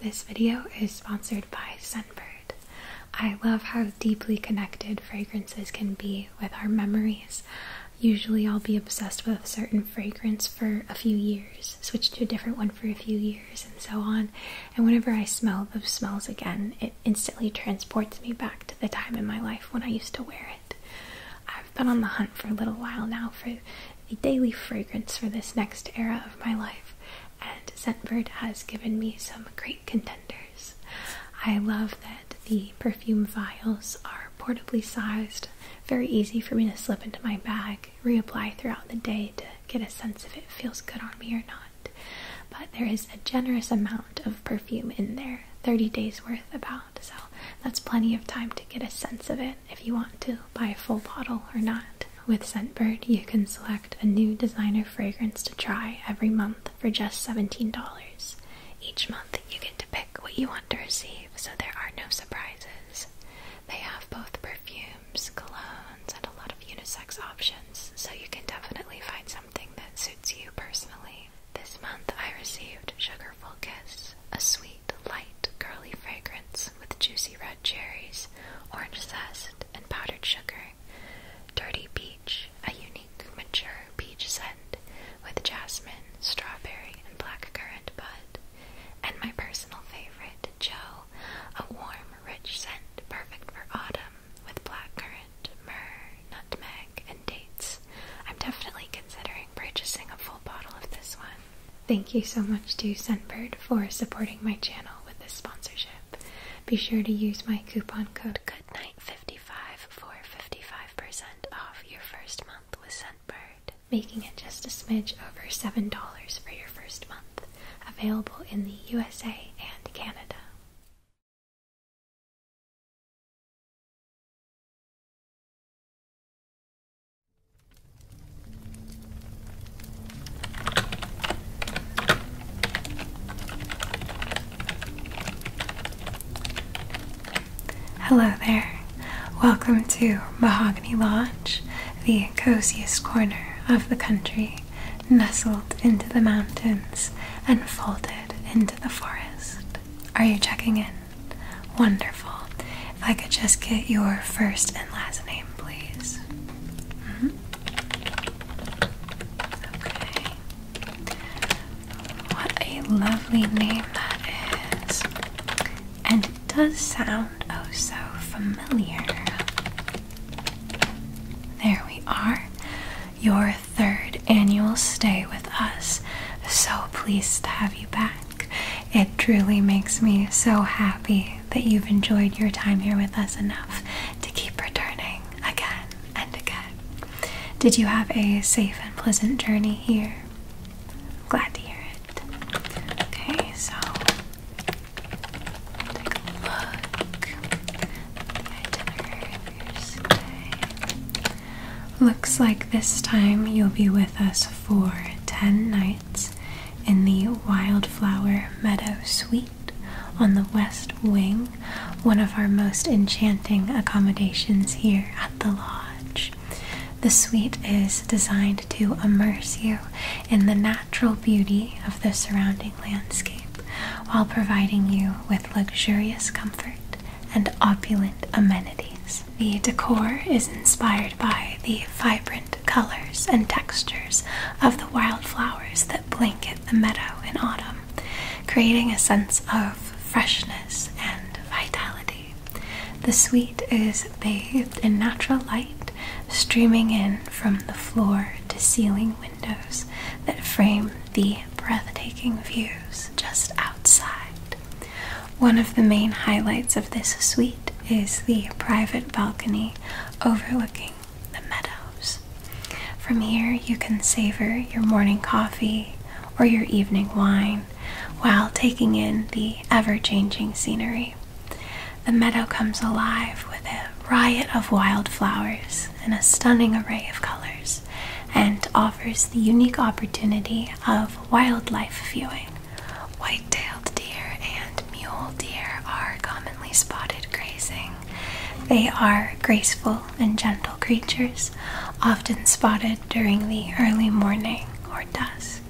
This video is sponsored by Sunbird. I love how deeply connected fragrances can be with our memories. Usually, I'll be obsessed with a certain fragrance for a few years, switch to a different one for a few years, and so on. And whenever I smell those smells again, it instantly transports me back to the time in my life when I used to wear it. I've been on the hunt for a little while now for a daily fragrance for this next era of my life, and Scentbird has given me some great contenders. I love that the perfume vials are portably sized, very easy for me to slip into my bag, reapply throughout the day to get a sense if it feels good on me or not. But there is a generous amount of perfume in there, 30 days worth about, so that's plenty of time to get a sense of it if you want to buy a full bottle or not. With Scentbird, you can select a new designer fragrance to try every month for just $17. Each month, you get to pick what you want to receive, so there are no surprises. They have both perfumes, colognes, and a lot of unisex options, so you can definitely find something that suits you personally. This month, I received Sugarful Kiss, a sweet, light, curly fragrance with juicy red cherries, orange zest, and powdered sugar. Dirty peach, a unique mature peach scent with jasmine, strawberry, and blackcurrant bud. And my personal favorite, Joe, a warm, rich scent perfect for autumn with blackcurrant, myrrh, nutmeg, and dates. I'm definitely considering purchasing a full bottle of this one. Thank you so much to Sunbird for supporting my channel with this sponsorship. Be sure to use my coupon code GOODNIGHT55 for 55% off your first month with Sunbird, making it just a smidge over $7 for your first month. Available in the USA and Canada. Hello there. Welcome to Mahogany Lodge, the coziest corner of the country, nestled into the mountains and folded into the forest. Are you checking in? Wonderful. If I could just get your first and last name, please. Mm-hmm. What a lovely name that is. And it does sound oh so familiar. There we are. Your third annual stay with us. So pleased to have you back. It truly makes me so happy that you've enjoyed your time here with us enough to keep returning again and again. Did you have a safe and pleasant journey here? I'm glad to hear it. Okay, so take a look Looks like this time you'll be with us for 10 nights in the Wildflower Meadow Suite on the West Wing, one of our most enchanting accommodations here at the Lodge. The suite is designed to immerse you in the natural beauty of the surrounding landscape while providing you with luxurious comfort and opulent amenities. The decor is inspired by the vibrant colors, and textures of the wildflowers that blanket the meadow in autumn, creating a sense of freshness and vitality. The suite is bathed in natural light streaming in from the floor to ceiling windows that frame the breathtaking views just outside. One of the main highlights of this suite is the private balcony overlooking the meadows. From here, you can savor your morning coffee or your evening wine while taking in the ever changing scenery. The meadow comes alive with a riot of wildflowers and a stunning array of colors and offers the unique opportunity of wildlife viewing. White-tailed deer and mule deer are commonly spotted grazing. They are graceful and gentle creatures, often spotted during the early morning or dusk.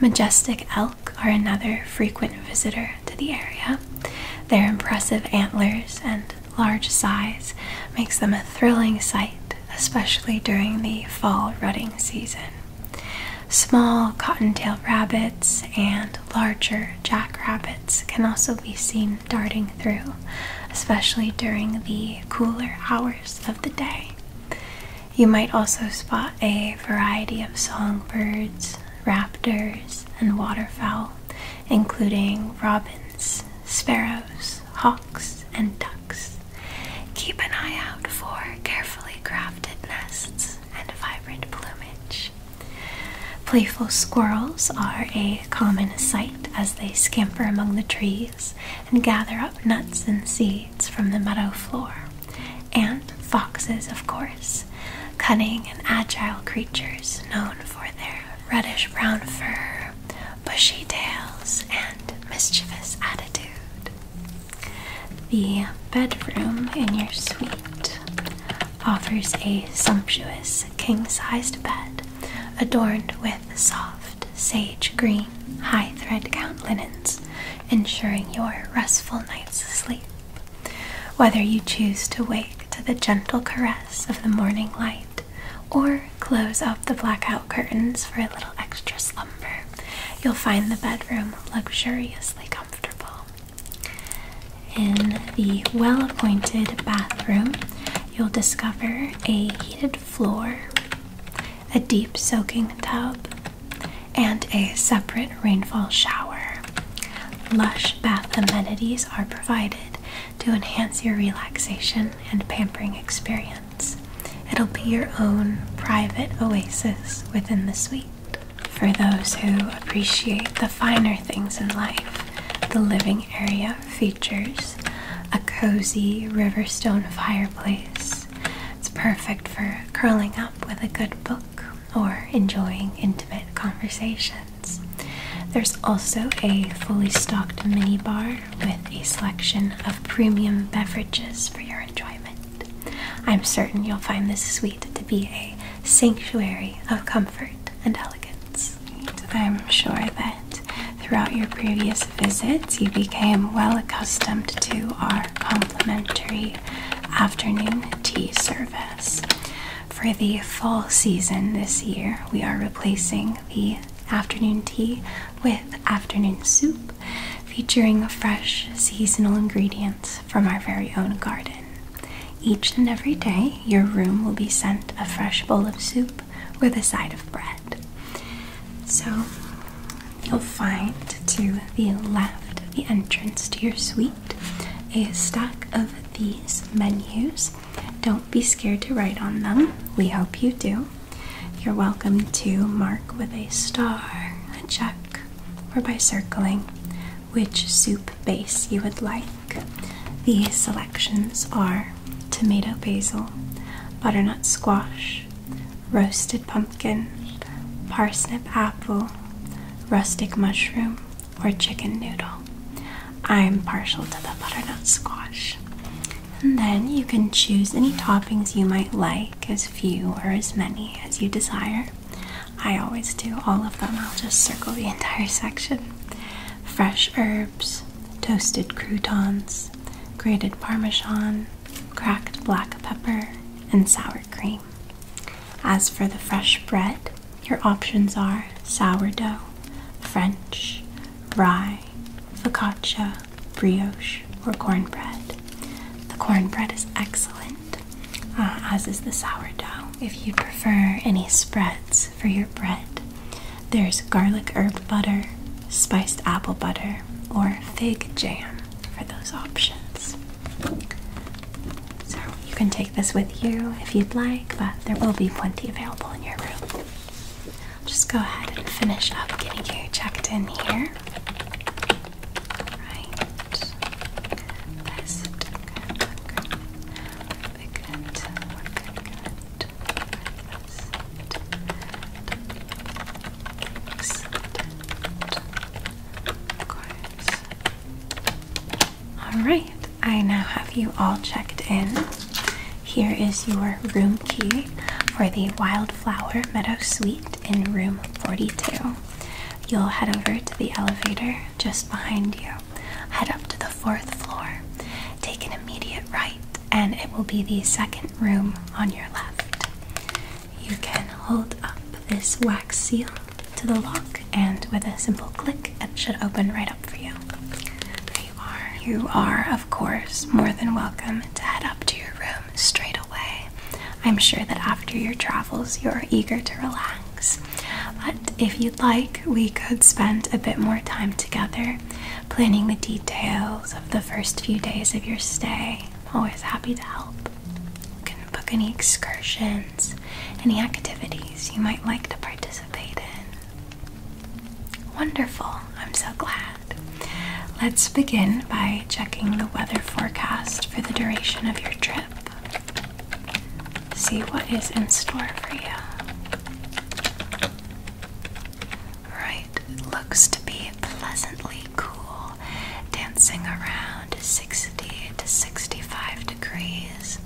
Majestic elk are another frequent visitor to the area. Their impressive antlers and large size makes them a thrilling sight, especially during the fall rutting season. Small cottontail rabbits and larger jackrabbits can also be seen darting through, especially during the cooler hours of the day. You might also spot a variety of songbirds, raptors, and waterfowl, including robins, sparrows, hawks, and ducks. Keep an eye out for carefully crafted nests and vibrant plumage. Playful squirrels are a common sight as they scamper among the trees and gather up nuts and seeds from the meadow floor. And foxes, of course, cunning and agile creatures known for their reddish brown fur, bushy tails, and mischievous attitude. The bedroom in your suite offers a sumptuous king sized bed adorned with soft sage green high thread count linens, ensuring your restful night's sleep. Whether you choose to wake to the gentle caress of the morning light or close up the blackout curtains for a little extra slumber, you'll find the bedroom luxuriously comfortable. In the well appointed bathroom, you'll discover a heated floor, a deep soaking tub, and a separate rainfall shower. Lush bath amenities are provided to enhance your relaxation and pampering experience. It'll be your own private oasis within the suite. For those who appreciate the finer things in life, the living area features a cozy riverstone fireplace. It's perfect for curling up with a good book or enjoying intimate conversations. There's also a fully stocked minibar with a selection of premium beverages for your enjoyment. I'm certain you'll find this suite to be a sanctuary of comfort and elegance. I'm sure that throughout your previous visits, you became well accustomed to our complimentary afternoon tea service. For the fall season this year, we are replacing the afternoon tea with afternoon soup featuring fresh seasonal ingredients from our very own garden. Each and every day, your room will be sent a fresh bowl of soup with a side of bread. So, you'll find to the left of the entrance to your suite a stack of these menus. Don't be scared to write on them, we hope you do. You're welcome to mark with a star, a check, or by circling which soup base you would like. The selections are tomato basil, butternut squash, roasted pumpkin, parsnip apple, rustic mushroom, or chicken noodle. I'm partial to the butternut squash. And then you can choose any toppings you might like, as few or as many as you desire. I always do all of them. I'll just circle the entire section. Fresh herbs, toasted croutons, grated parmesan, cracked black pepper, and sour cream. As for the fresh bread, your options are sourdough, French, rye, focaccia, brioche, or cornbread. The cornbread is excellent. Uh, as is the sourdough. If you prefer any spreads for your bread, there's garlic herb butter, spiced apple butter, or fig jam for those options. So you can take this with you if you'd like, but there will be plenty available in your room. just go ahead and finish up getting you checked in here. Right. Good, good, good. We're good. We're good, good. Best. Of course. Alright, I now have you all checked in. Here is your room key for the Wildflower Meadow Suite in room 42. You'll head over to the elevator just behind you. Head up to the fourth floor. Take an immediate right, and it will be the second room on your left. You can hold up this wax seal to the lock, and with a simple click, it should open right up for you. There you are. You are, of course, more than welcome to head up to your room straight away. I'm sure that after your travels, you're eager to relax. But if you'd like, we could spend a bit more time together planning the details of the first few days of your stay. I'm always happy to help. You can book any excursions, any activities you might like to participate in. Wonderful, I'm so glad. Let's begin by checking the weather forecast for the duration of your trip. See what is in store for you. Right, looks to be pleasantly cool, dancing around 60 to 65 degrees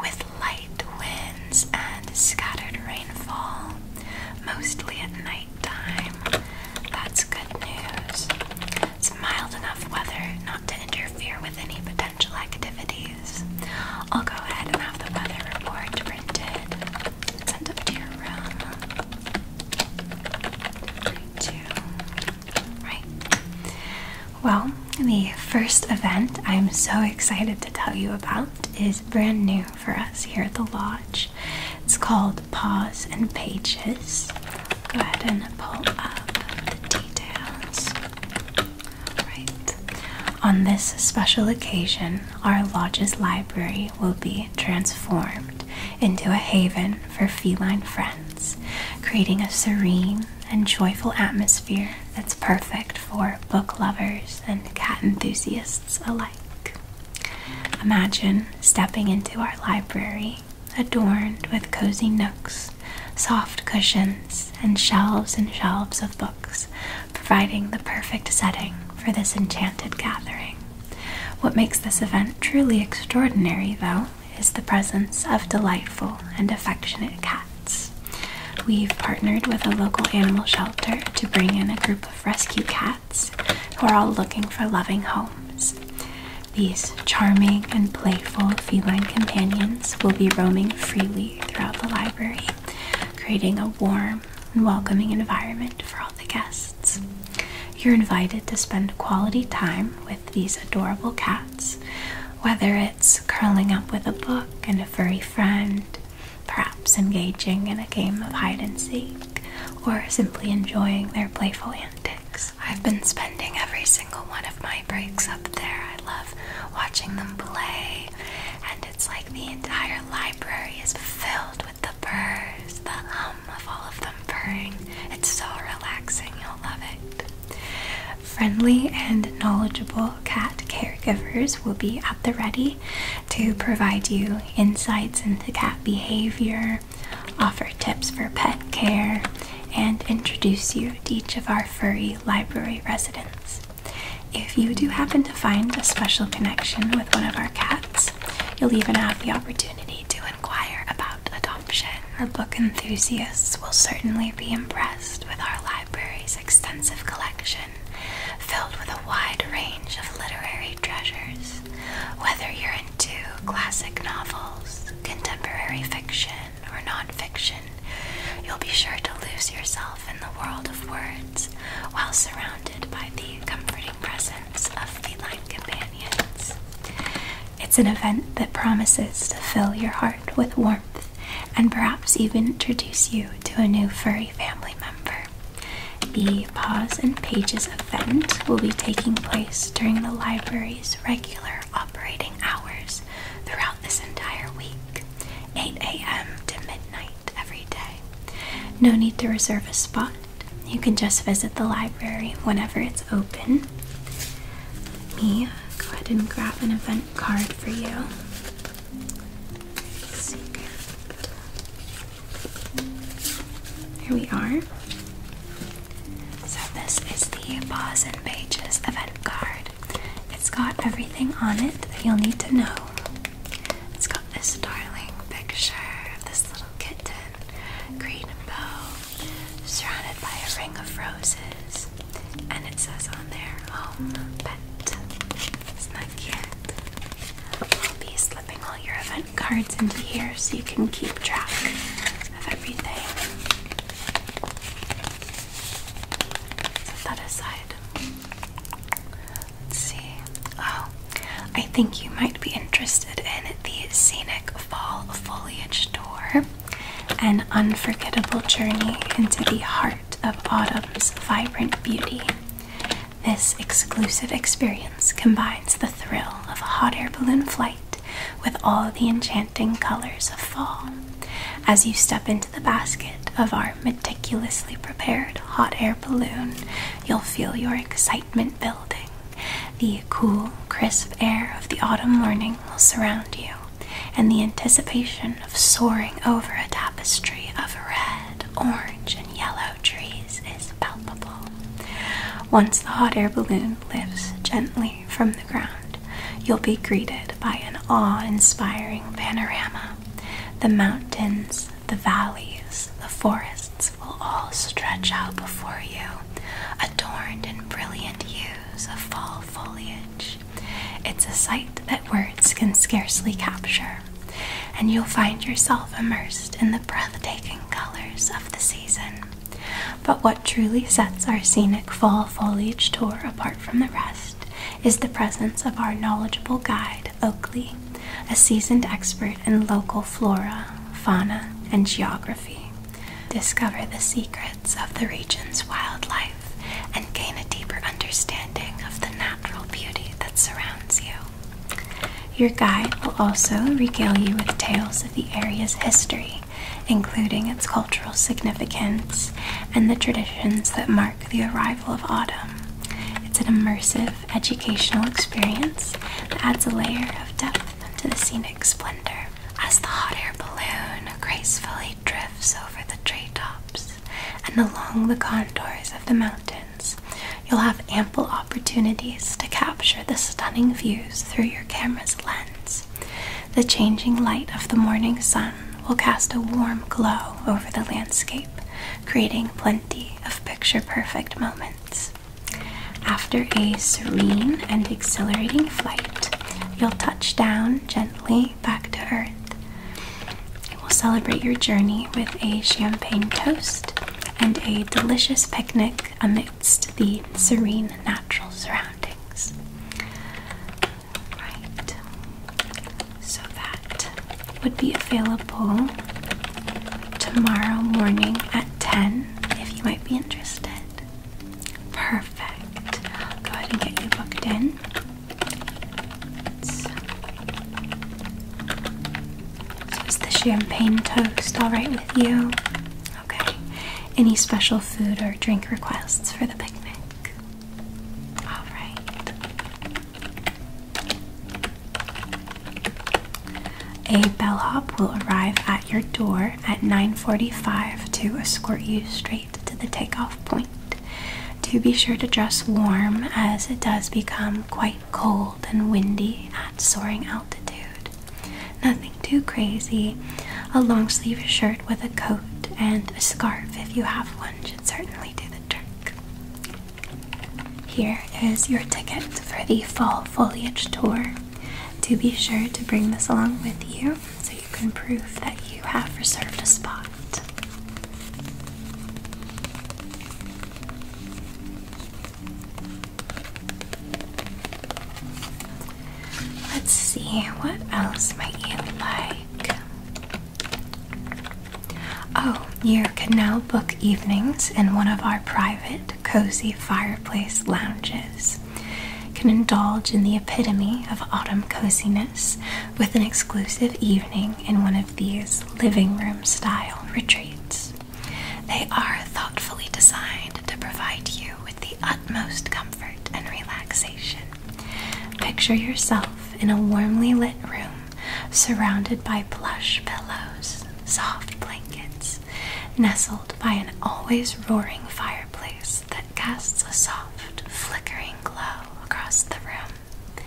with light winds and scattered rainfall, mostly at night time. That's good news. It's mild enough weather not to interfere with any potential activities. I'll go ahead and have the weather report printed and up to your room. Right. Well, the first event I'm so excited to tell you about is brand new for us here at the lodge. It's called Pause and Pages go ahead and pull up the details. Right. On this special occasion, our lodge's library will be transformed into a haven for feline friends, creating a serene and joyful atmosphere that's perfect for book lovers and cat enthusiasts alike. Imagine stepping into our library adorned with cozy nooks, soft cushions, and shelves and shelves of books, providing the perfect setting for this enchanted gathering. What makes this event truly extraordinary, though, is the presence of delightful and affectionate cats. We've partnered with a local animal shelter to bring in a group of rescue cats who are all looking for loving homes. These charming and playful feline companions will be roaming freely throughout the library, creating a warm and welcoming environment for all the guests. You're invited to spend quality time with these adorable cats, whether it's curling up with a book and a furry friend, perhaps engaging in a game of hide and seek, or simply enjoying their playful antics. I've been spending every single one of my breaks up there. I love watching them play, and it's like the entire library is filled with the purrs, the hum of all of them purring. It's so relaxing, you'll love it. Friendly and knowledgeable cat caregivers will be at the ready to provide you insights into cat behavior offer tips for pet care, and introduce you to each of our furry library residents. If you do happen to find a special connection with one of our cats, you'll even have the opportunity to inquire about adoption. Our book enthusiasts will certainly be impressed with our library's extensive collection, filled with a wide range of literary treasures. Whether you're in to classic novels, contemporary fiction, or nonfiction, you'll be sure to lose yourself in the world of words while surrounded by the comforting presence of feline companions. It's an event that promises to fill your heart with warmth and perhaps even introduce you to a new furry family member. The Paws and Pages event will be taking place during the library regular operating hours throughout this entire week 8 a.m. to midnight every day. No need to reserve a spot. You can just visit the library whenever it's open. me go ahead and grab an event card for you. Secret. Here we are. So this is the Paws and Pages event card. It's got everything on it that you'll need to know. It's got this darling picture of this little kitten, green and bow, surrounded by a ring of roses. And it says on there, "Oh, pet. it's not yet. cute? will be slipping all your event cards into here so you can keep track of everything. Set that aside. Let's see. Oh, I think you might be interested in the Scenic Fall Foliage Tour, an unforgettable journey into the heart of autumn's vibrant beauty. This exclusive experience combines the thrill of a hot air balloon flight with all the enchanting colors of fall as you step into the basket of our meticulously prepared hot air balloon you'll feel your excitement building the cool crisp air of the autumn morning will surround you and the anticipation of soaring over a tapestry of red orange and yellow trees is once the hot air balloon lifts gently from the ground, you'll be greeted by an awe inspiring panorama. The mountains, the valleys, the forests will all stretch out before you, adorned in brilliant hues of fall foliage. It's a sight that words can scarcely capture, and you'll find yourself immersed in the breathtaking colors of the season. But what truly sets our scenic fall foliage tour apart from the rest is the presence of our knowledgeable guide, Oakley, a seasoned expert in local flora, fauna, and geography. Discover the secrets of the region's wildlife and gain a deeper understanding of the natural beauty that surrounds you. Your guide will also regale you with tales of the area's history, including its cultural significance and the traditions that mark the arrival of autumn. It's an immersive educational experience that adds a layer of depth to the scenic splendor. As the hot air balloon gracefully drifts over the treetops and along the contours of the mountains, you'll have ample opportunities to capture the stunning views through your camera's lens. The changing light of the morning sun will cast a warm glow over the landscape, creating plenty of picture perfect moments. After a serene and exhilarating flight, you'll touch down gently back to Earth. We'll celebrate your journey with a champagne toast and a delicious picnic amid amidst the serene natural surroundings. Right, so that would be available tomorrow morning at 10 if you might be interested. Perfect. go ahead and get you booked in. So, so is the champagne toast all right with you? Okay. Any special food or drink requests for the picnic? All right. A bellhop will arrive at your door at 9:45 to escort you straight to the takeoff point. Do be sure to dress warm as it does become quite cold and windy at soaring altitude. Nothing too crazy. A long sleeved shirt with a coat and a scarf, if you have one, should certainly do the trick. Here is your ticket for the fall foliage tour. To be sure to bring this along with you so you can prove that you have reserved a spot. Let's see, what else might you like? Oh, you can now book evenings in one of our private, cozy fireplace lounges. can indulge in the epitome of autumn coziness with an exclusive evening in one of these living room style retreats. They are thoughtfully designed to provide you with the utmost comfort and relaxation. Picture yourself in a warmly lit room surrounded by plush pillows, soft blankets, nestled by an always roaring fireplace that casts a soft, flickering glow across the room.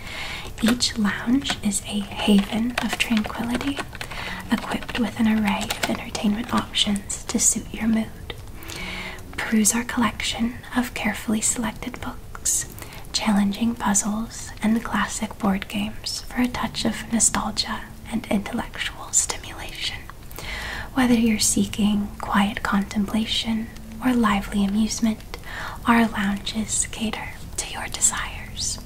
Each lounge is a haven of tranquility equipped with an array of entertainment options to suit your mood. Peruse our collection of carefully selected books, challenging puzzles, and classic board games for a touch of nostalgia and intellectual stimulation. Whether you're seeking quiet contemplation or lively amusement, our lounges cater to your desires.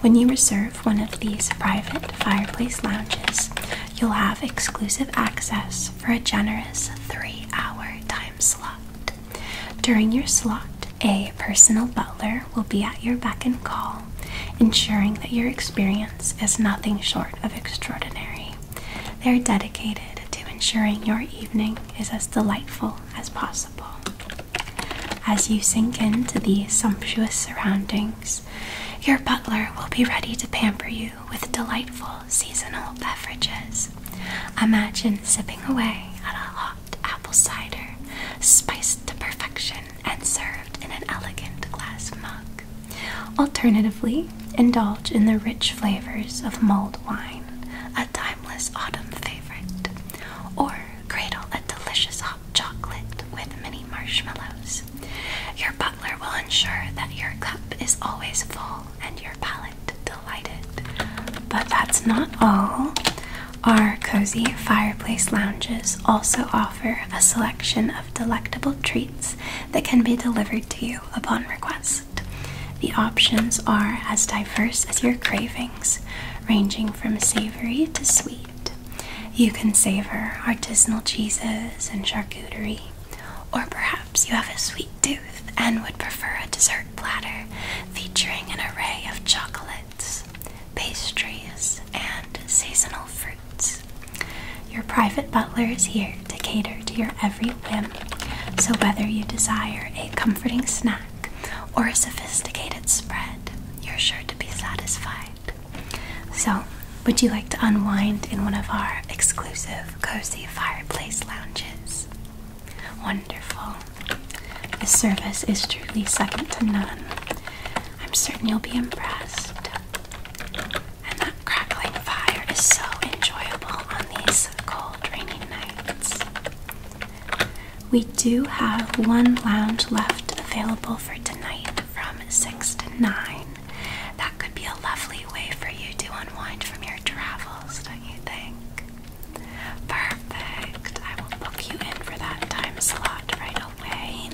When you reserve one of these private fireplace lounges, you'll have exclusive access for a generous three hour time slot. During your slot, a personal butler will be at your beck and call, ensuring that your experience is nothing short of extraordinary. They're dedicated to ensuring your evening is as delightful as possible. As you sink into the sumptuous surroundings, your butler will be ready to pamper you with delightful seasonal beverages. Imagine sipping away at a hot apple cider, spiced to perfection and served in an elegant glass mug. Alternatively, indulge in the rich flavors of mulled wine, a timeless autumn favorite, or cradle a delicious chocolate with mini marshmallows. Your butler will ensure that your cup is always full and your palate delighted. But that's not all. Our cozy fireplace lounges also offer a selection of delectable treats that can be delivered to you upon request. The options are as diverse as your cravings, ranging from savory to sweet. You can savor artisanal cheeses and charcuterie, or perhaps you have a sweet tooth and would prefer a dessert platter featuring an array of chocolates, pastries, and seasonal fruits. Your private butler is here to cater to your every whim, so whether you desire a comforting snack or a sophisticated spread, you're sure to be satisfied. So, would you like to unwind in one of our exclusive cozy fireplace lounges? Wonderful. The service is truly second to none. I'm certain you'll be impressed. And that crackling fire is so enjoyable on these cold, rainy nights. We do have one lounge left available for tonight from 6 to 9. That could be a lovely way for you to unwind from your travels, don't you think? Perfect. I will book you in for that time slot right away.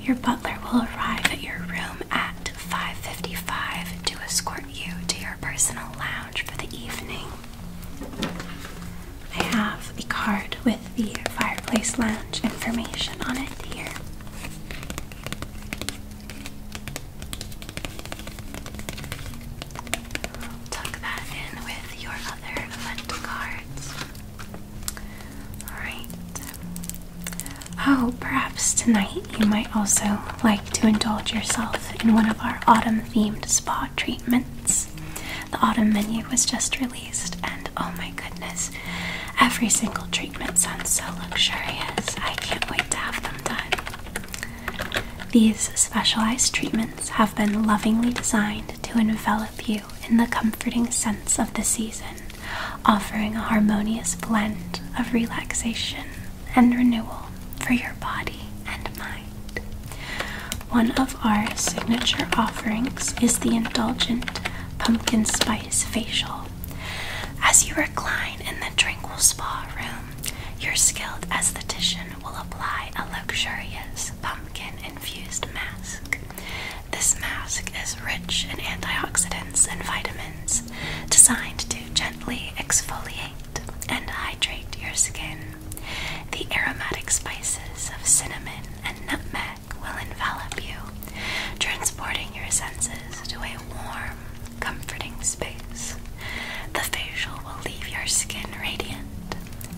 Your butler will arrive at your room at 5:55 to escort you to your personal lounge for the evening. I have a card with the Fireplace Lounge information on it here. Tuck that in with your other event cards. Alright. Oh, perhaps tonight you might also like to indulge yourself in one of our autumn themed spa treatments the autumn menu was just released, and oh my goodness, every single treatment sounds so luxurious. I can't wait to have them done. These specialized treatments have been lovingly designed to envelop you in the comforting sense of the season, offering a harmonious blend of relaxation and renewal for your body and mind. One of our signature offerings is the indulgent pumpkin spice facial. As you recline in the tranquil spa room, your skilled esthetician will apply a luxurious pumpkin infused mask. This mask is rich in antioxidants and vitamins, designed to gently exfoliate and hydrate your skin. The aromatic spices of cinnamon and nutmeg will envelop you, transporting your senses to a warm, comforting space. The facial will leave your skin radiant,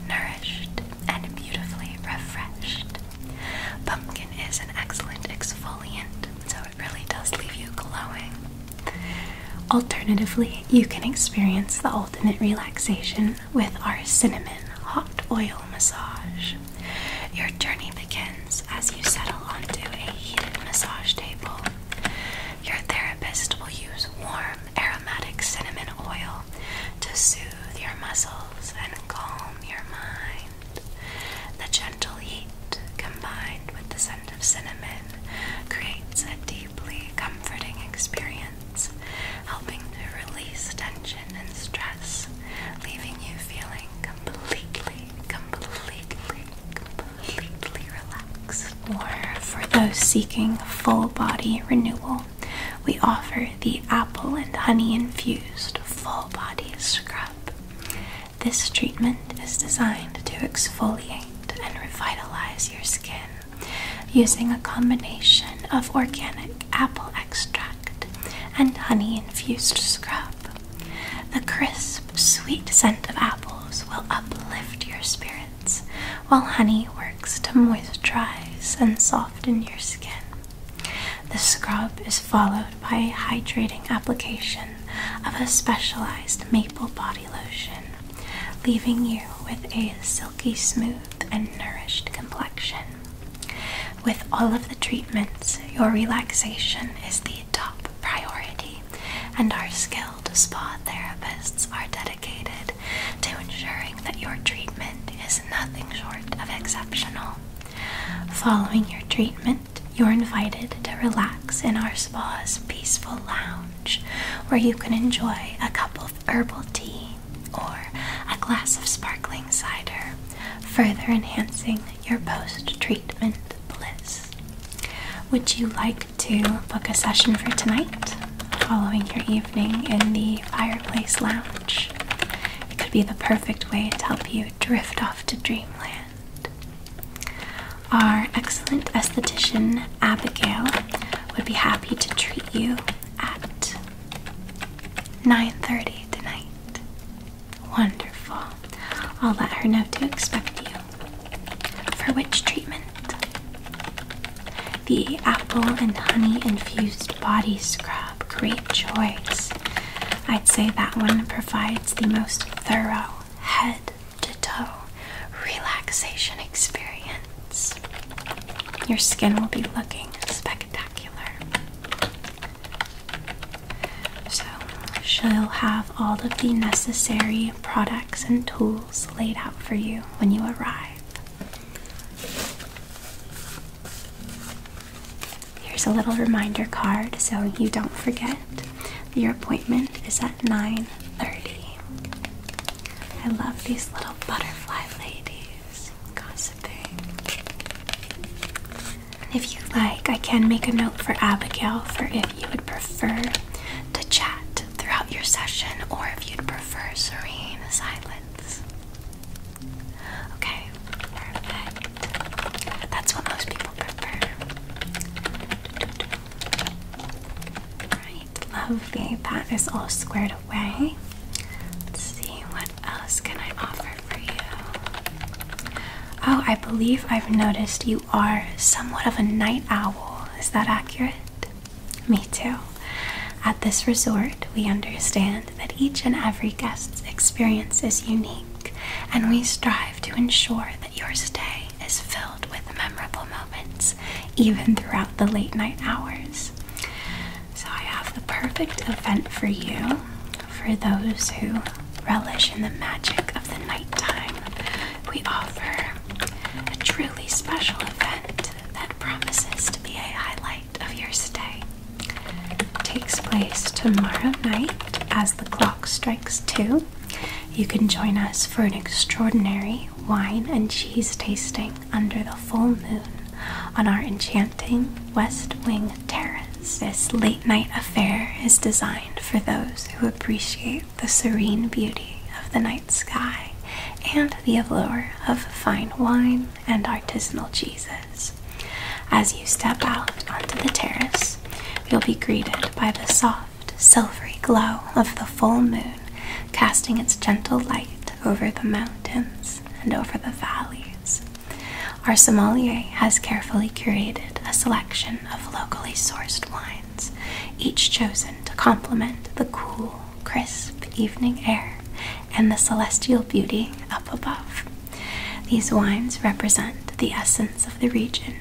nourished, and beautifully refreshed. Pumpkin is an excellent exfoliant, so it really does leave you glowing. Alternatively, you can experience the ultimate relaxation with our cinnamon hot oil massage. Your journey begins as you settle onto a heated massage table. Your therapist will use warm aromatic cinnamon oil to soothe your muscles and calm your mind. The gentle heat combined with the scent of cinnamon creates a deeply comforting experience helping to release tension and stress, leaving you feeling completely, completely, completely relaxed. Or for those seeking full body renewal, we offer the apple and honey infused full body scrub. This treatment is designed to exfoliate and revitalize your skin using a combination of organic apple extract and honey infused scrub. The crisp, sweet scent of apples will uplift your spirits, while honey works to moisturize and soften your skin. The scrub is followed by a hydrating application of a specialized maple body lotion, leaving you with a silky smooth and nourished complexion. With all of the treatments, your relaxation is the top priority, and our skilled spa therapists are dedicated to ensuring that your treatment is nothing short of exceptional. Following your treatment, you're invited to relax in our spa's peaceful lounge where you can enjoy a couple herbal tea or a glass of sparkling cider, further enhancing your post treatment bliss. Would you like to book a session for tonight following your evening in the fireplace lounge? It could be the perfect way to help you drift off to dreamland. Our excellent esthetician, Abigail, would be happy to treat you at 9.30 tonight. Wonderful. I'll let her know to expect you. For which treatment? The apple and honey infused body scrub. Great choice. I'd say that one provides the most thorough head to toe relaxation experience. Your skin will be looking spectacular. So, she'll have all of the necessary products and tools laid out for you when you arrive. Here's a little reminder card so you don't forget. Your appointment is at 9:30. I love these little butterfly ladies gossiping. If you like, I can make a note for Abigail for if you would prefer to chat throughout your session or if you'd prefer serene silence. Okay, perfect. That's what most people prefer. Right, lovely. That is all squared away. Let's see, what else can I offer for you? Oh, I believe I've noticed you are somewhat of a night owl. Is that accurate? Me too. At this resort, we understand that each and every guest's experience is unique, and we strive to ensure that your stay is filled with memorable moments, even throughout the late night hours. So, I have the perfect event for you for those who relish in the magic of the nighttime. We offer a truly special event that promises to be a highlight of your stay. takes place tomorrow night as the clock strikes two. You can join us for an extraordinary wine and cheese tasting under the full moon on our enchanting West Wing terrace. This late night affair is designed for those who appreciate the serene beauty of the night sky and the allure of fine wine and artisanal cheeses. As you step out onto the terrace, you'll be greeted by the soft, silvery glow of the full moon casting its gentle light over the mountains and over the valleys. Our sommelier has carefully curated a selection of locally sourced wines, each chosen to complement the cool, crisp evening air and the celestial beauty up above. These wines represent the essence of the region,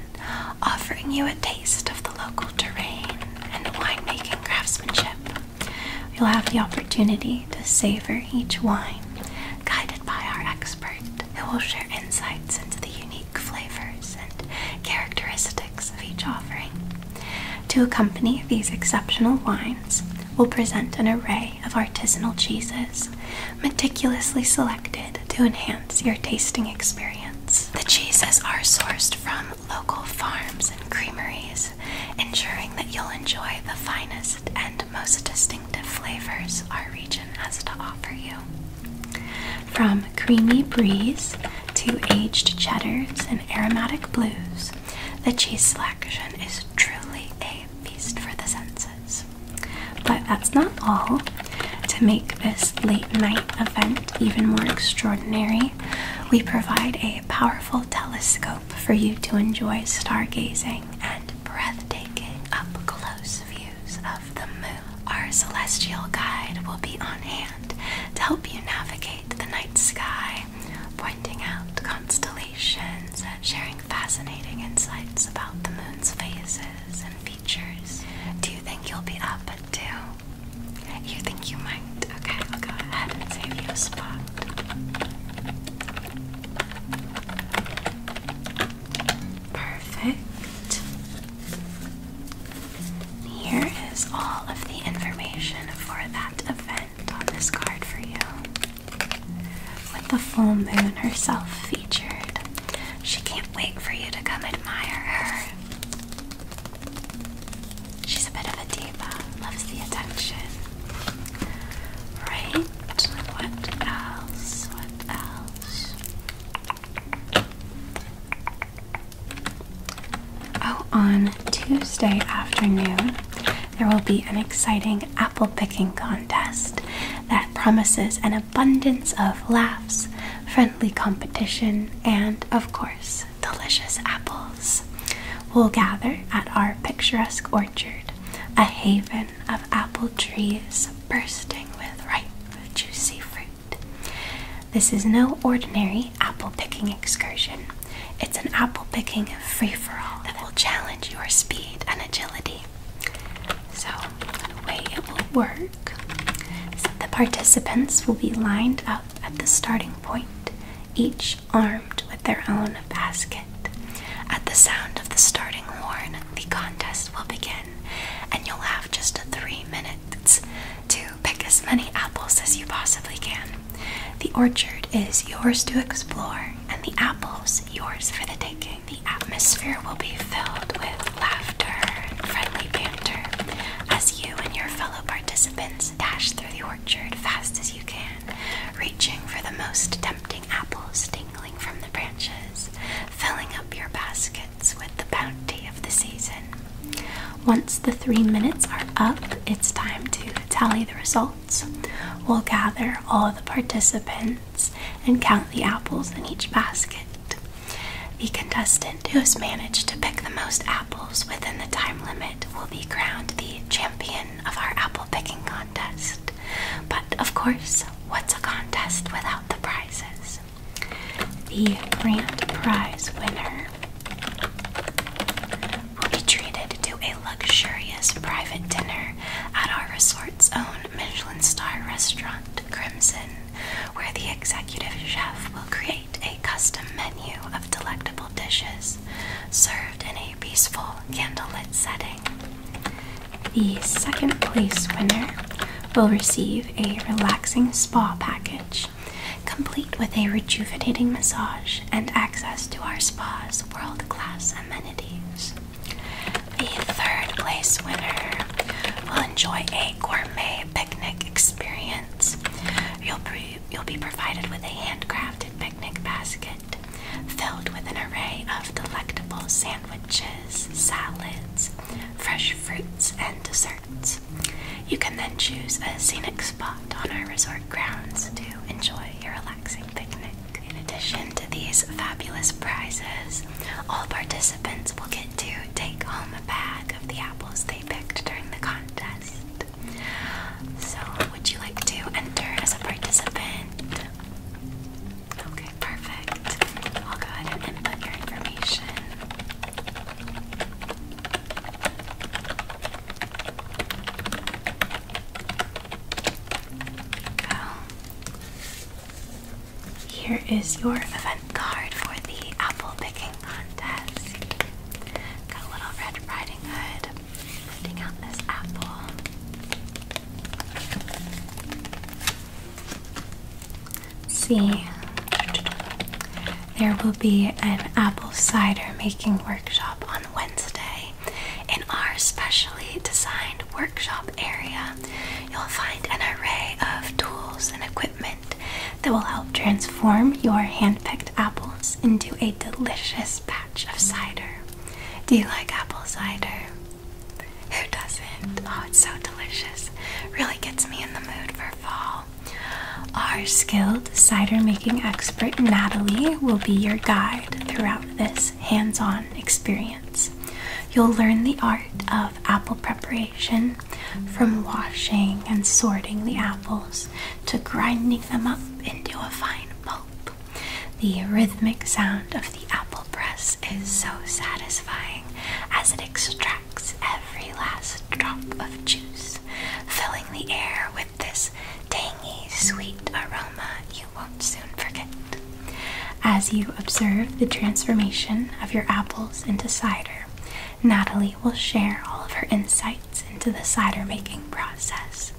offering you a taste of the local terrain and the winemaking craftsmanship You'll have the opportunity to savor each wine, guided by our expert, who will share insights into the unique flavors and characteristics of each offering. To accompany these exceptional wines, we'll present an array of artisanal cheeses, meticulously selected to enhance your tasting experience. The cheeses are sourced from local farms and creameries ensuring that you'll enjoy the finest and most distinctive flavors our region has to offer you. From creamy breeze to aged cheddars and aromatic blues, the cheese selection is truly a feast for the senses. But that's not all. To make this late night event even more extraordinary, we provide a powerful telescope for you to enjoy stargazing and breathtaking up close views of the moon. Our celestial guide will be on hand to help you navigate the night sky, pointing out constellations and sharing fascinating insights about the moon's phases and features. Do you think you'll be up at 2? You think you might? Perfect. Okay, I'll go ahead and save you a spot. Perfect. Here is all of the information for that event on this card for you. With the full moon herself featured, she can't wait for you to come admire her. She's a bit of a diva, loves the attention. Right? What else? What else? Oh, on Tuesday afternoon, there will be an exciting apple picking contest that promises an abundance of laughs, friendly competition, and, of course, delicious apples we will gather at our picturesque orchard, a haven of apple trees bursting with ripe, juicy fruit. This is no ordinary apple picking excursion. It's an apple picking free for all that will challenge your speed and agility. So, the way it will work is that the participants will be lined up at the starting point, each armed with their own basket. At the sound of the starting horn, the contest will begin, and you'll have just three minutes to pick as many apples as you possibly can. The orchard is yours to explore, and the apples yours for the taking. The atmosphere will be filled with laughter and friendly banter as you and your fellow participants dash through the orchard fast as you can reaching for the most tempting apples dangling from the branches, filling up your baskets with the bounty of the season. Once the three minutes are up, it's time to tally the results. We'll gather all the participants and count the apples in each basket. The contestant who has managed to pick the most apples within the time limit will be crowned the champion of our apple picking contest. But of course, what's a contest without the prizes? The grand prize winner will be treated to a luxurious private dinner at our resort's own Michelin star restaurant, Crimson, where the executive chef will create a custom menu of delectable dishes served in a a peaceful candlelit setting. The second place winner will receive a relaxing spa package, complete with a rejuvenating massage and access to our spa's world class amenities. The third place winner will enjoy a gourmet picnic experience. You'll, pre you'll be provided with a handcrafted picnic basket filled with an array of delectable sandwiches, salads, fresh fruits, and desserts. You can then choose a scenic spot on our resort grounds to enjoy your relaxing picnic. In addition to these fabulous prizes, all participants will get to take home a bag of the apples they picked during the contest. So, would you like to enter as a participant? Okay, perfect. I'll go ahead and input your information. Go. Here is your event card for the apple picking contest. Got a little Red Riding Hood see, there will be an apple cider making workshop on Wednesday in our specially designed workshop area. You'll find an array of tools and equipment that will help transform your hand picked apples into a delicious. batch of cider. Do you like apple cider? Who doesn't? Oh, it's so delicious. Really gets me in the mood for fall. Our skilled cider making expert Natalie will be your guide throughout this hands on experience. You'll learn the art of apple preparation from washing and sorting the apples to grinding them up into a fine pulp. The rhythmic sound of the apple press is so satisfying as it extracts every last drop of juice, filling the air with this tangy, sweet aroma you won't soon forget. As you observe the transformation of your apples into cider, Natalie will share all of her insights into the cider making process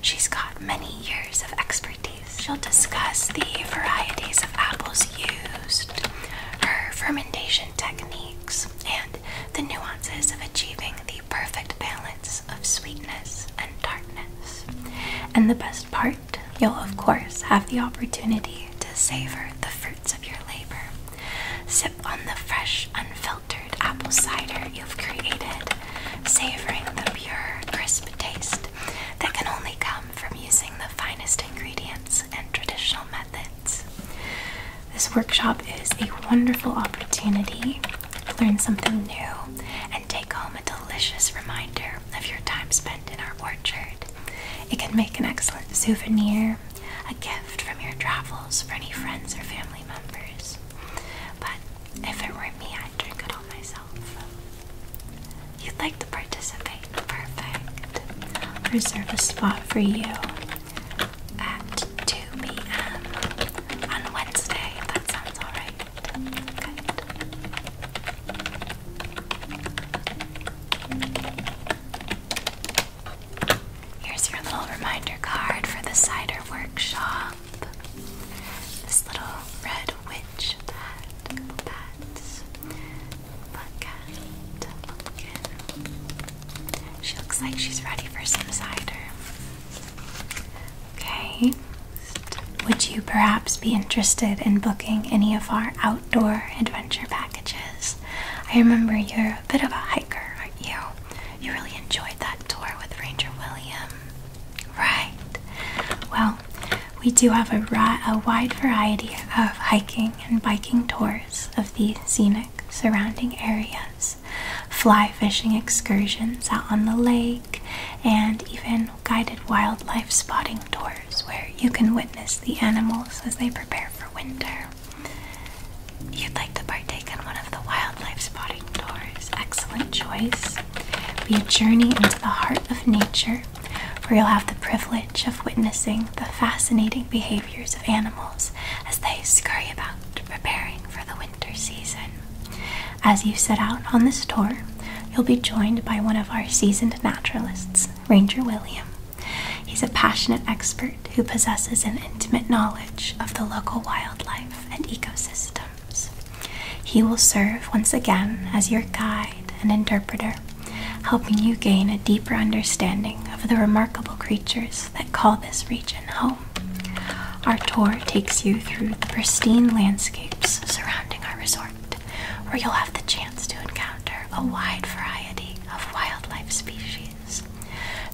She's got many years of expertise. She'll discuss the varieties of apples used, her fermentation techniques, and the nuances of achieving the perfect balance of sweetness and tartness. And the best part, you'll of course have the opportunity to savor the fruits of your labor. So on the fresh, unfiltered apple cider you've created, savoring the pure, crisp taste that can only come from using the finest ingredients and traditional methods. This workshop is a wonderful opportunity to learn something new and take home a delicious reminder of your time spent in our orchard. It can make an excellent souvenir, a gift from your travels for any friends or family members. But if it were me, I'd drink it all myself. You'd like to participate? Perfect. Reserve a spot for you at 2 p.m. on Wednesday. that sounds alright. Good. Here's your little reminder card for the cider workshop this little red witch that that's Buckhead Lumpkin. She looks like she's ready for some cider. Okay. Would you perhaps be interested in booking any of our outdoor adventure packages? I remember you're a bit of a hiker, aren't you? You really enjoyed that tour with Ranger William. Right. Well, we do have a, a wide variety of hiking and biking tours of the scenic surrounding areas, fly fishing excursions out on the lake, and even guided wildlife spotting tours where you can witness the animals as they prepare for winter you'd like to partake in one of the wildlife spotting tours, excellent choice. Be a journey into the heart of nature, where you'll have the privilege of witnessing the fascinating behaviors of animals as they scurry about, preparing for the winter season. As you set out on this tour, you'll be joined by one of our seasoned naturalists, Ranger William. He's a passionate expert who possesses an intimate knowledge of the local wildlife and ecosystems. He will serve once again as your guide and interpreter, helping you gain a deeper understanding of the remarkable creatures that call this region home. Our tour takes you through the pristine landscapes surrounding our resort, where you'll have the chance to encounter a wide variety of wildlife species.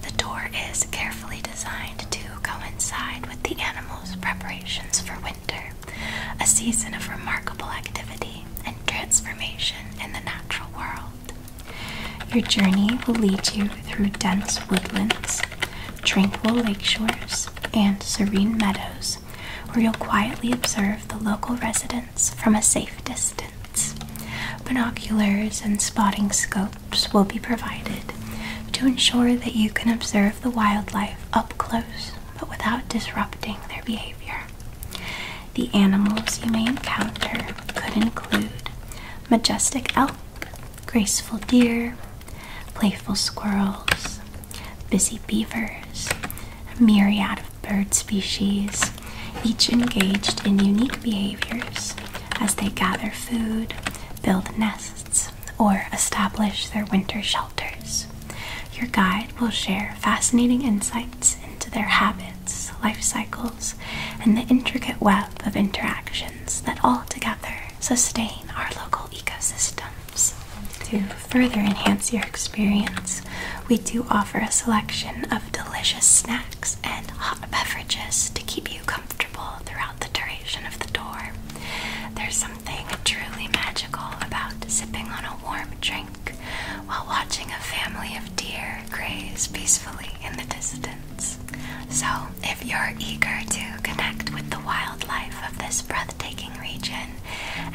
The tour is carefully designed to coincide with the animals' preparations for winter, a season of remarkable activity and transformation in the natural world. Your journey will lead you through dense woodlands, tranquil lakeshores, and serene meadows, where you'll quietly observe the local residents from a safe distance. Binoculars and spotting scopes will be provided to ensure that you can observe the wildlife up close but without disrupting their behavior. The animals you may encounter could include majestic elk, graceful deer, playful squirrels, busy beavers, a myriad of bird species, each engaged in unique behaviors as they gather food, build nests, or establish their winter shelters. Your guide will share fascinating insights into their habits, life cycles, and the intricate web of interactions that all together sustain our local ecosystems. To further enhance your experience, we do offer a selection of delicious snacks and hot beverages to keep you comfortable throughout the duration of the tour. There's something truly magical about sipping on a warm drink while watching a family of deer graze peacefully in the distance. So, if you're eager to connect with the wildlife of this breathtaking region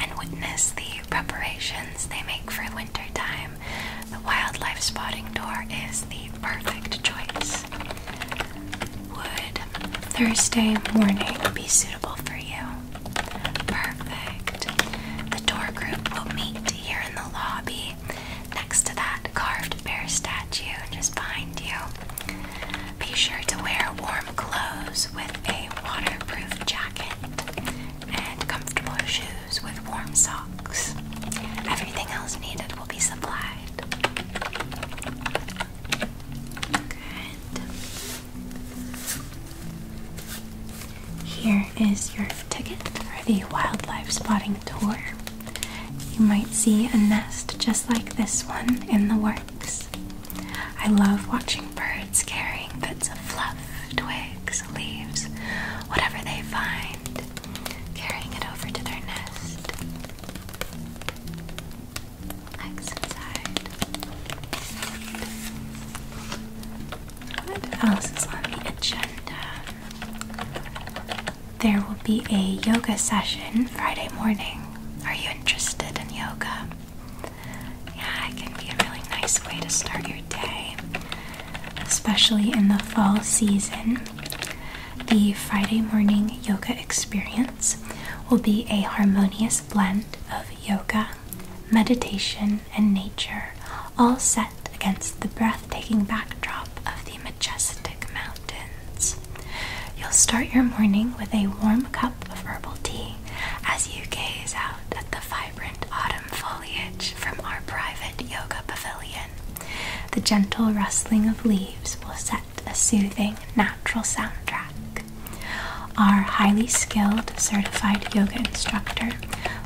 and witness the preparations they make for winter time, the wildlife spotting tour is the perfect choice. Would Thursday morning be suitable for you? Perfect. The tour group will meet here in the lobby next to that carved bear statue just behind you. Be sure to wear warm clothes with a waterproof jacket and comfortable shoes with warm socks. Everything else needed will be supplied. Here is your ticket for the wildlife spotting tour. You might see a nest just like this one in the works. I love watching birds carrying bits of fluff, twigs, leaves, whatever they find, carrying it over to their nest. Exit What else is on the agenda? There will be a yoga session Friday morning. Are you interested in yoga? Yeah, it can be a really nice way to start your day, especially in the fall season. The Friday morning yoga experience will be a harmonious blend of yoga, meditation, and nature, all set against the breathtaking backdrop of the majestic mountains. You'll start your morning with a warm cup of herbal tea as you gaze out at the vibrant autumn foliage from our private yoga pavilion. The gentle rustling of leaves will set a soothing, natural soundtrack. Our highly skilled certified yoga instructor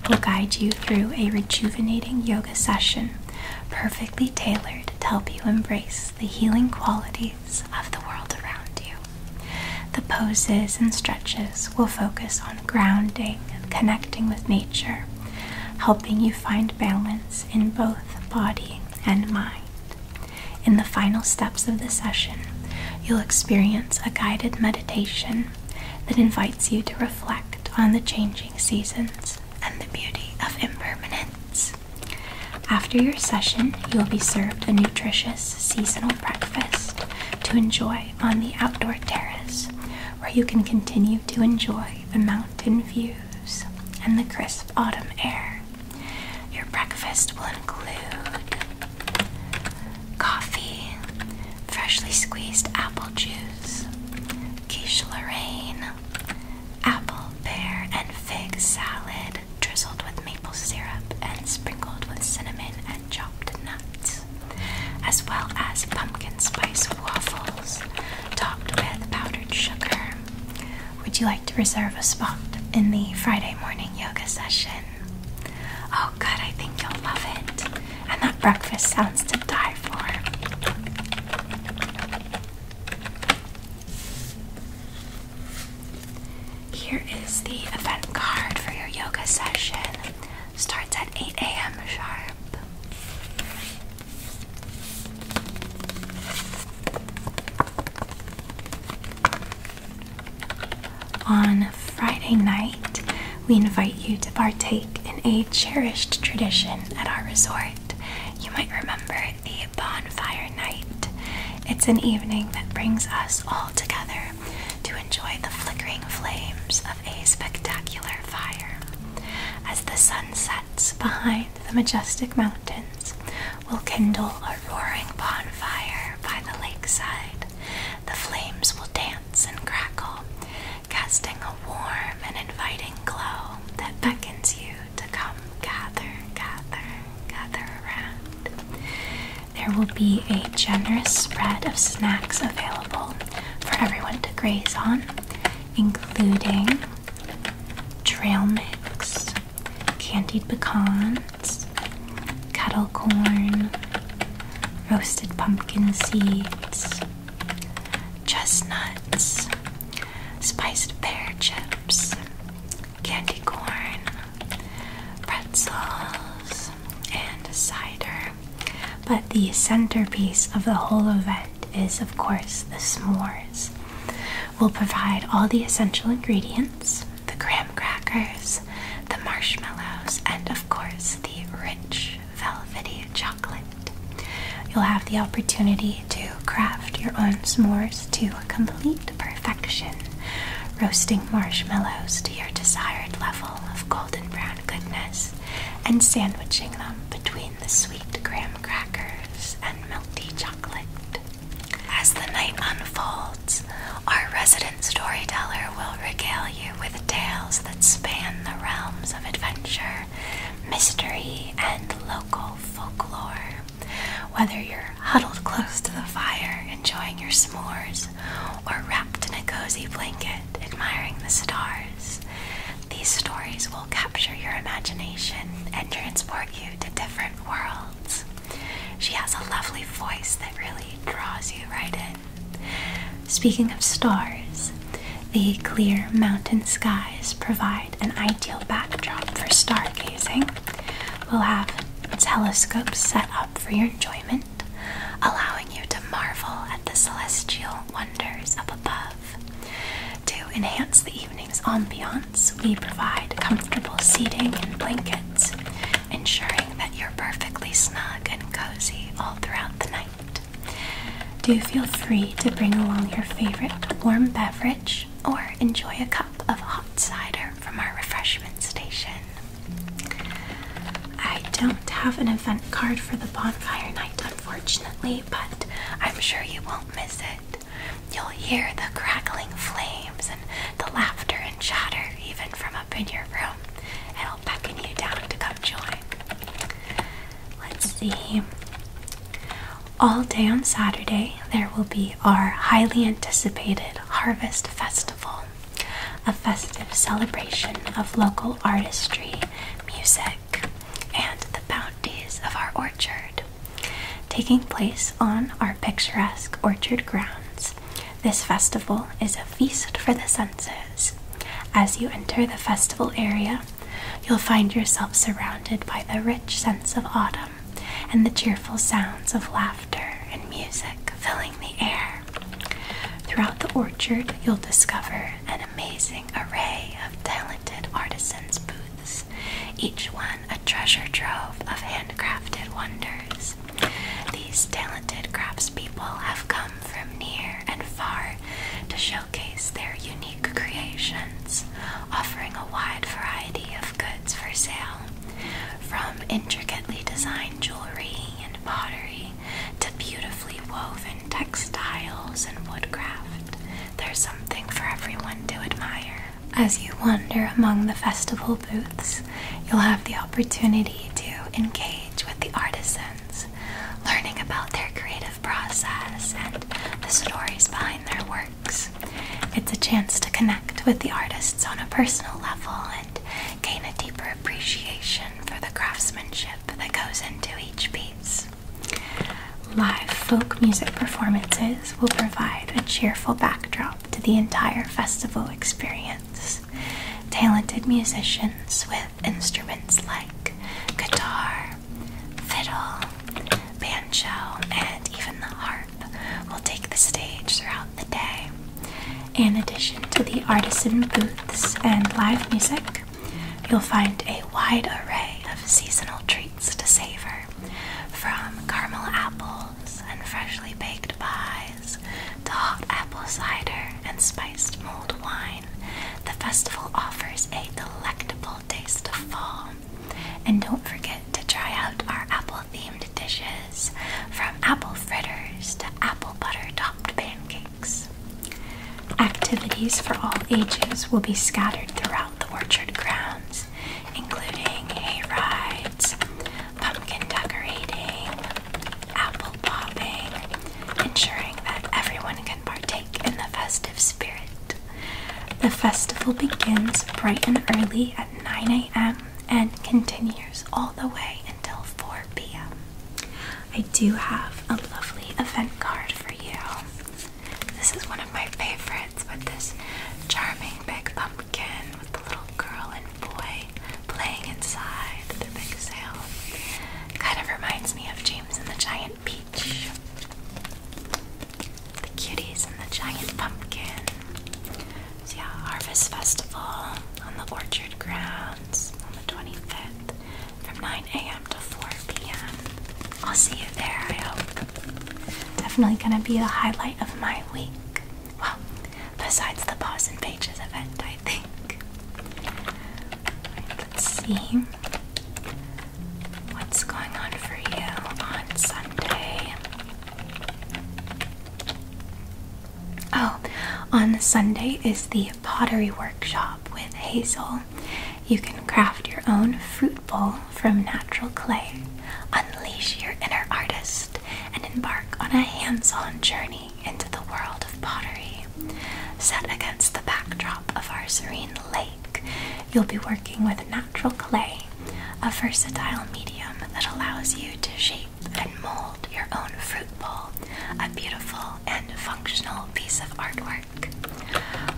will guide you through a rejuvenating yoga session perfectly tailored to help you embrace the healing qualities of the world around you. The poses and stretches will focus on grounding connecting with nature, helping you find balance in both body and mind. In the final steps of the session, you'll experience a guided meditation that invites you to reflect on the changing seasons and the beauty of impermanence. After your session, you'll be served a nutritious seasonal breakfast to enjoy on the outdoor terrace, where you can continue to enjoy the mountain view and the crisp autumn air. Your breakfast will include coffee, freshly squeezed apple juice, quiche Lorraine, apple, pear, and fig salad drizzled with maple syrup and sprinkled with cinnamon and chopped nuts, as well as pumpkin spice waffles topped with powdered sugar. Would you like to reserve a spot in the Friday morning yoga session? Oh, good, I think you'll love it. And that breakfast sounds to die for. Here is the event card for your yoga session. Starts at 8 a.m. sharp. On Friday night, we invite you to partake in a cherished tradition at our resort. You might remember a bonfire night. It's an evening that brings us all together to enjoy the flickering flames of a spectacular fire. As the sun sets behind the majestic mountains will kindle a roaring bonfire by the lakeside. The flames will dance and crackle, casting a warm and inviting glow that beckons you to come gather, gather, gather around. There will be a generous spread of snacks available for everyone to graze on, including trail mix, candied pecans, kettle corn, roasted pumpkin seeds, chestnuts, spiced pear chips, candy corn, pretzels, and cider. But the centerpiece of the whole event is, of course, the s'mores. We'll provide all the essential ingredients the graham crackers, the marshmallows, and, of course, the rich velvety chocolate. You'll have the opportunity to craft your own s'mores to complete perfection, roasting marshmallows to your desired level of golden brown goodness and sandwiching them between the sweet graham crackers and melty chocolate. As the night unfolds, our resident storyteller will regale you with tales that span the realms of adventure, mystery, and local folklore. Whether you're huddled close to the fire enjoying your s'mores, or wrapped in a cozy blanket admiring the stars, these stories will capture your imagination and transport you to different worlds. She has a lovely voice that really draws you right in. Speaking of stars, the clear mountain skies provide an ideal backdrop for stargazing. We'll have telescopes set up for your enjoyment, allowing you to marvel at the celestial wonders up above. To enhance the evening's ambiance, we provide comfortable seating and blankets, ensuring that you're perfectly snug and cozy all throughout the night. Do feel free to bring along your favorite warm beverage or enjoy a cup of hot cider from our refreshment station. I don't have an event card for the bonfire night, unfortunately, but I'm sure you won't miss it. You'll hear the crackling flames and the laughter and chatter even from up in your room. It'll beckon you down to come join. Let's see. All day on Saturday, there will be our highly anticipated Harvest Festival, a festive celebration of local artistry, music, and the bounties of our orchard. Taking place on our picturesque orchard grounds, this festival is a feast for the senses. As you enter the festival area, you'll find yourself surrounded by the rich sense of autumn and the cheerful sounds of laughter and music filling the air. Throughout the orchard, you'll discover an amazing array of talented artisans' booths, each one a treasure trove of handcrafted wonders. These talented craftspeople have come from near and far to showcase their unique creations, offering a wide variety of goods for sale, from intricately designed jewelry and pottery to beautifully woven textiles and woodcraft. There's something for everyone to admire. As you wander among the festival booths, you'll have the opportunity to engage with the artisans, learning about their creative process and the stories behind their works. It's a chance to connect with the artists on a personal level and gain a deeper appreciation for the craftsmanship that goes into each piece. Live folk music performances will provide a cheerful backdrop to the entire festival experience. Talented musicians with instruments like guitar, fiddle, banjo, and even the harp will take the stage throughout the day. In addition to the artisan booths and live music, you'll find a wide array of seasonal treats to savor, from caramel apples and freshly baked pies to hot apple cider and spiced mulled wine. The festival offers a delectable taste of fall. And don't forget to try out our apple themed dishes from apple fritters to apple butter topped pancakes. Activities for all ages will be scattered throughout the orchard grounds, including hay rides, pumpkin decorating, apple popping, ensuring that everyone can partake in the festive spirit. The festival begins bright and early at 9 a.m. and continues all the way until 4 p.m. I do have a lovely event card for you. This is one of my favorites with this charming big pumpkin with the little girl and boy playing inside the big sail. Kind of reminds me of James and the Giant Peach. The cuties and the giant pumpkin. So yeah, Harvest Festival on the orchard grounds on the 25th from 9 a.m. to 4 p.m. I'll see you there, I hope. Definitely gonna be a highlight of my week. Well, besides the Paws and Pages event, I think. let's see what's going on for you on Sunday. Oh, on Sunday is the pottery workshop with Hazel. You can craft your own fruit bowl from natural clay. Unleash your inner artist and embark on a hands on journey into the world of pottery. Set against the backdrop of our serene lake, you'll be working with natural clay, a versatile medium that allows you to shape and mold your own fruit bowl, a beautiful and functional piece of artwork.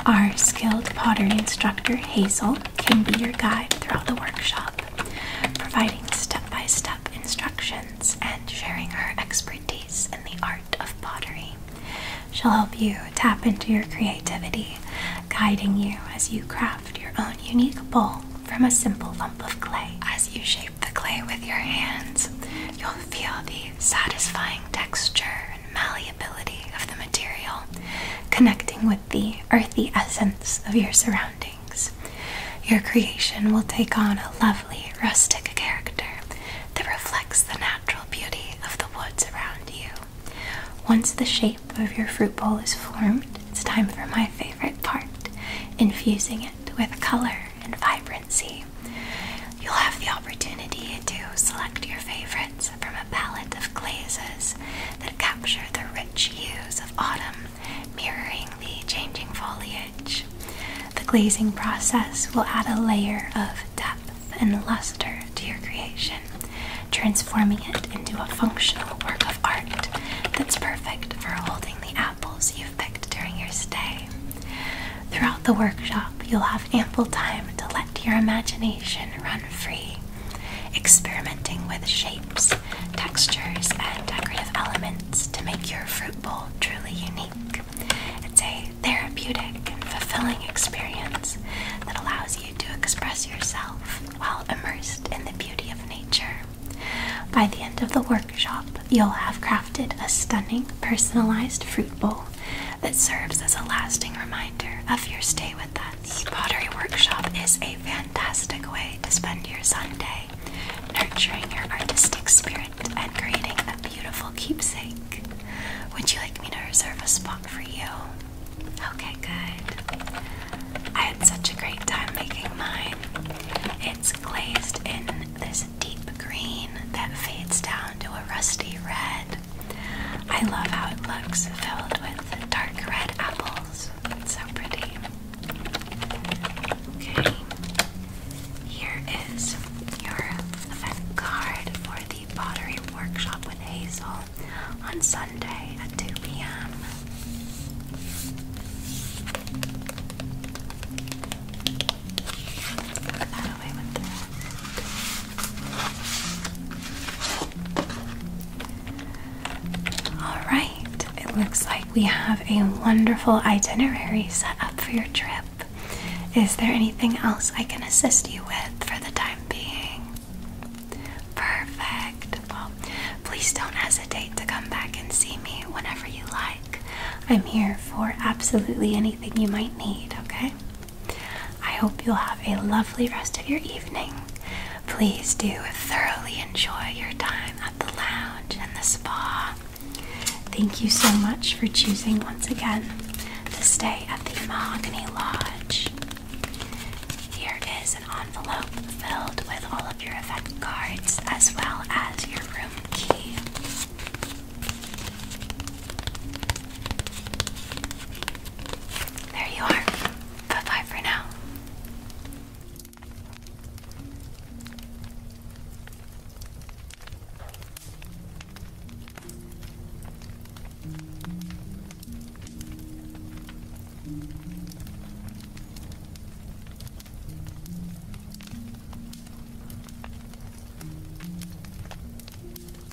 Our skilled pottery instructor, Hazel, can be your guide throughout the workshop, providing step by step instructions and sharing her expertise in the art of pottery. She'll help you tap into your creativity, guiding you as you craft your own unique bowl from a simple lump of clay. As you shape the clay with your hands, you'll feel the satisfying texture malleability of the material, connecting with the earthy essence of your surroundings. Your creation will take on a lovely, rustic character that reflects the natural beauty of the woods around you. Once the shape of your fruit bowl is formed, it's time for my favorite part infusing it with color and vibrancy. You'll have the opportunity to select your favorites from a palette of glazes that capture the rich hues of autumn, mirroring the changing foliage. The glazing process will add a layer of depth and luster to your creation, transforming it into a functional work of art that's perfect for holding the apples you've picked during your stay. Throughout the workshop, you'll have ample time to let your imagination run free, experimenting with shapes, textures, and decorative elements to make your fruit bowl truly unique. It's a therapeutic and fulfilling experience that allows you to express yourself while immersed in the beauty of nature. By the end of the workshop, you'll have crafted a stunning personalized fruit bowl that serves as a lasting reminder of your stay with us. pottery workshop is a fantastic way to spend your Sunday, nurturing your artistic spirit and creating a beautiful keepsake. Would you like me to reserve a spot for you? Okay, good. I had such a great time making mine. It's glazed in this deep green that fades down to a rusty red. I love how it looks filled with dark red apples. It's so pretty. Okay, here is your event card for the pottery workshop with Hazel on Sunday at 2 p.m. Alright, it looks like we have a wonderful itinerary set up for your trip. Is there anything else I can assist you with for the time being? Perfect. Well, please don't hesitate to come back and see me whenever you like. I'm here for absolutely anything you might need, okay? I hope you'll have a lovely rest of your evening. Please do thoroughly enjoy your time at the lounge and the spa. Thank you so much for choosing once again to stay at the Mahogany Lodge. Here is an envelope filled with all of your event cards as well as your room key. There you are. Bye bye for now.